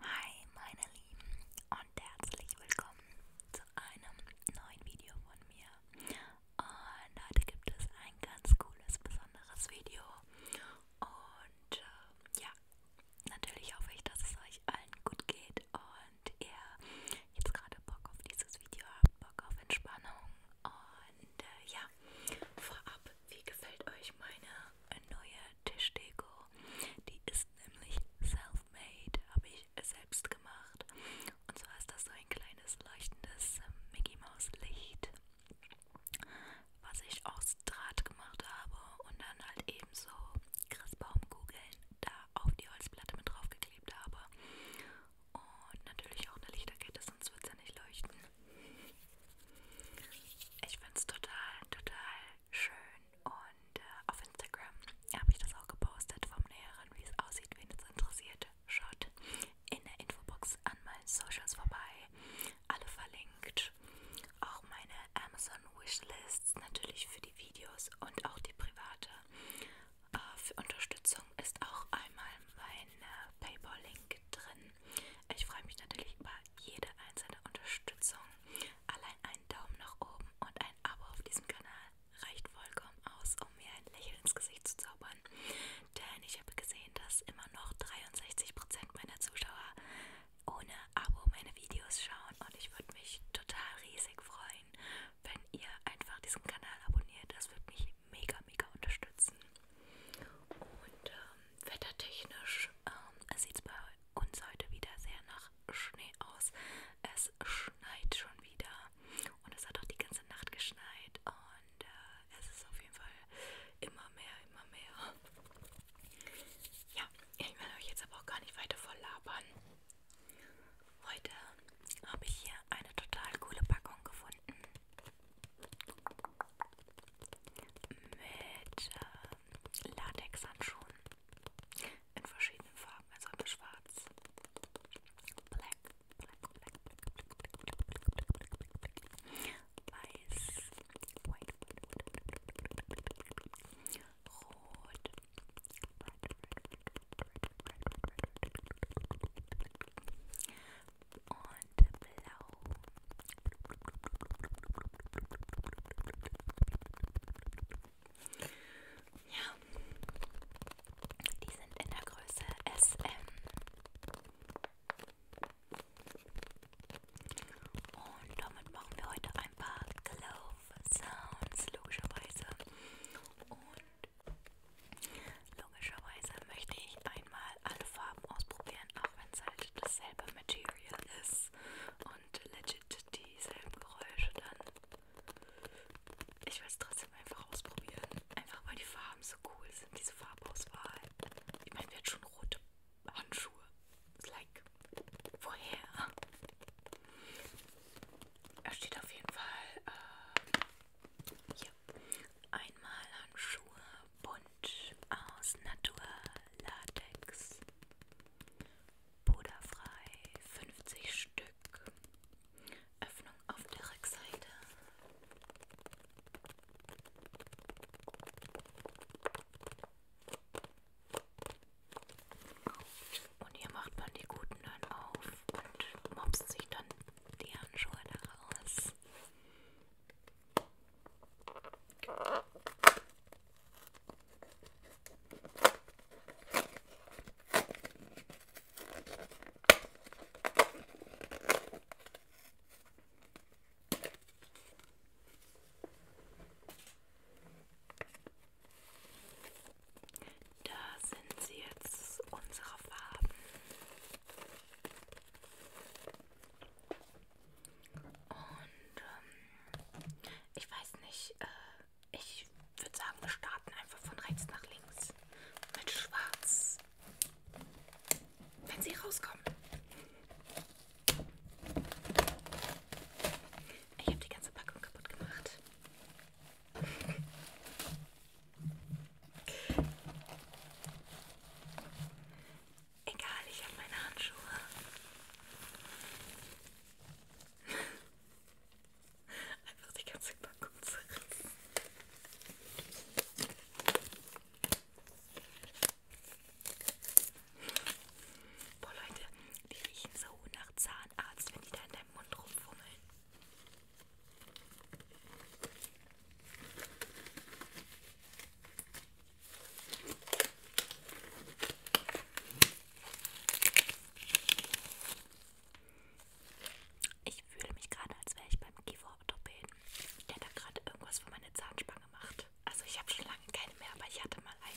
Hi meine Lieben und herzlich willkommen zu einem neuen Video von mir. Und heute gibt es ein ganz cooles, besonderes Video. Und äh, ja, natürlich hoffe ich, dass es euch allen gut geht und ihr jetzt gerade Bock auf dieses Video habt, Bock auf Entspannung. Und äh, ja, vorab wie gefällt euch meine äh, neue Tischdeko? Die ist nämlich self-made, habe ich selbst gemacht. Und zwar ist das so ein kleines leuchtendes äh, Mickey Mouse Licht, was ich aus Draht gemacht habe und dann halt eben so Christbaumkugeln da auf die Holzplatte mit draufgeklebt habe. Und natürlich auch eine Lichterkette, sonst wird es ja nicht leuchten. Ich finde es total, total schön und äh, auf Instagram habe ich das auch gepostet vom Näheren, wie es aussieht, wen es interessiert. Schaut in der Infobox an meinen Socials vorbei, alle verlinkt. Auch meine Amazon Wishlists natürlich für die Videos und auch die private. Äh, für Unterstützung ist auch einmal mein äh, Paypal-Link drin. Ich freue mich natürlich über jede einzelne Unterstützung. Allein einen Daumen nach oben und ein Abo auf diesem Kanal reicht vollkommen aus, um mir ein Lächeln ins Gesicht zu zaubern. Denn ich habe gesehen, dass immer noch 63% meiner Zuschauer ohne Abo meine Videos schauen und ich würde mich total riesig freuen, wenn ihr einfach diesen Kanal abonniert. Das würde mich mega, mega unterstützen. Und ähm, Wettertechnisch ähm, sieht es bei uns heute wieder sehr nach Schnee aus. Es schneit schon wieder und es hat auch die ganze Nacht geschneit und äh, es ist auf jeden Fall immer mehr, immer mehr. Ja, ich werde euch jetzt aber auch gar nicht weiter voll labern. Heute habe ich hier eine total coole Packung gefunden. Mit äh, Latexhandschuhen in verschiedenen Farben, also einmal schwarz, black, black, black, weiß, white, rot, und blau. Ja, die sind in der Größe SM. Und damit machen wir heute ein paar Glove Sounds, logischerweise. Und logischerweise möchte ich einmal alle Farben ausprobieren, auch wenn es halt dasselbe Material Material ist und legit dieselben Geräusche dann. Ich will es trotzdem einfach ausprobieren. Einfach weil die Farben so cool sind, diese Farbauswahl. Ich meine, wir hat schon rote Handschuhe. Like, woher? Er steht auf jeden Fall äh, hier. Einmal Handschuhe Bunt aus Naturlatex. Puderfrei 50 Stück. Öffnung auf der Rückseite. Und hier macht man die guten dann auf und mopst sich dann die Handschuhe daraus. Da sind sie jetzt, unsere Farben. Und ähm, ich weiß nicht, äh, ich würde sagen, wir starten einfach von rechts nach links mit Schwarz. Wenn sie rauskommen. Ich habe die ganze Packung kaputt gemacht. Egal, ich habe meine Handschuhe. Einfach die ganze Packung zerrissen. Boah, Leute, die riechen so nach Zahnarzt, wenn die da in deinem Mund rumfummeln. Ich fühle mich gerade, als wäre ich beim Kieferorthopäden, der da gerade irgendwas für meine Zahnspange macht. Also ich habe schon lange keine mehr, aber ich hatte mal eine.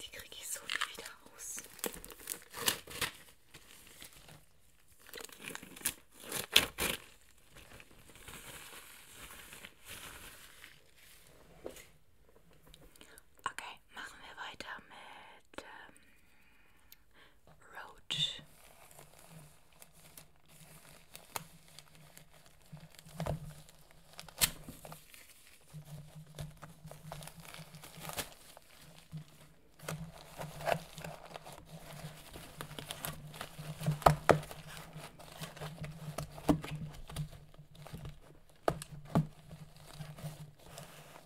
Die kriege ich so nie wieder raus. Okay, machen wir weiter mit ähm, Roach.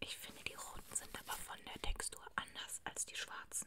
Ich finde, die roten sind aber von der Textur anders als die schwarzen.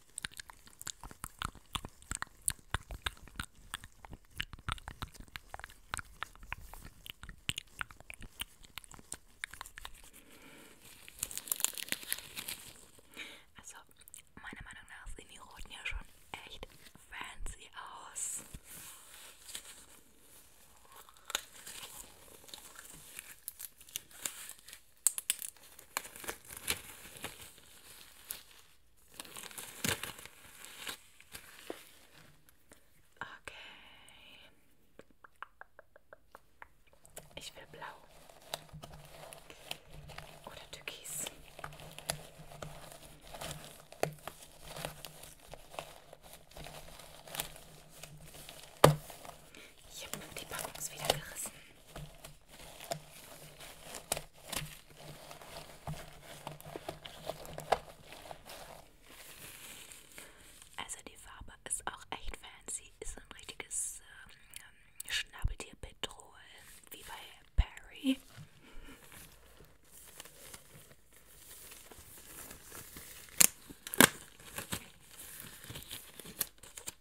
Also, meiner Meinung nach sehen die Roten ja schon echt fancy aus. Okay. Ich will blau. Oder türkis. Ich habe die Packung wieder gerissen. Also die Farbe ist auch echt fancy. Ist so ein richtiges ähm, Schnabeltier-Petrol, wie bei Perry.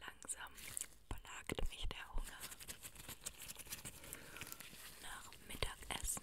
Langsam plagt mich der Hunger nach Mittagessen.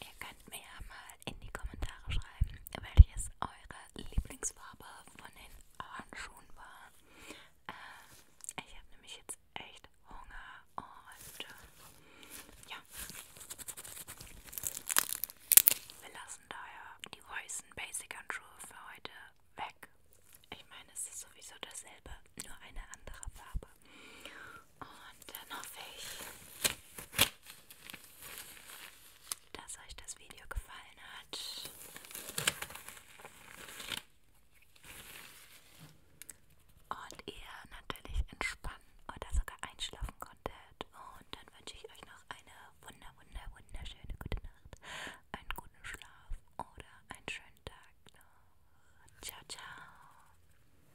Ihr könnt mir ja mal in die Kommentare schreiben, welches eure Lieblingsfarbe von den Handschuhen war. Äh, ich habe nämlich jetzt echt Hunger und äh, ja. Wir lassen daher die weißen Basic Handschuhe für heute weg. Ich meine, es ist sowieso dasselbe, nur eine andere Farbe. Und dann hoffe ich, dass euch das Video gefallen hat. Und ihr natürlich entspannen oder sogar einschlafen konntet. Und dann wünsche ich euch noch eine wunder, wunder, wunderschöne gute Nacht, einen guten Schlaf oder einen schönen Tag noch. Ciao, ciao.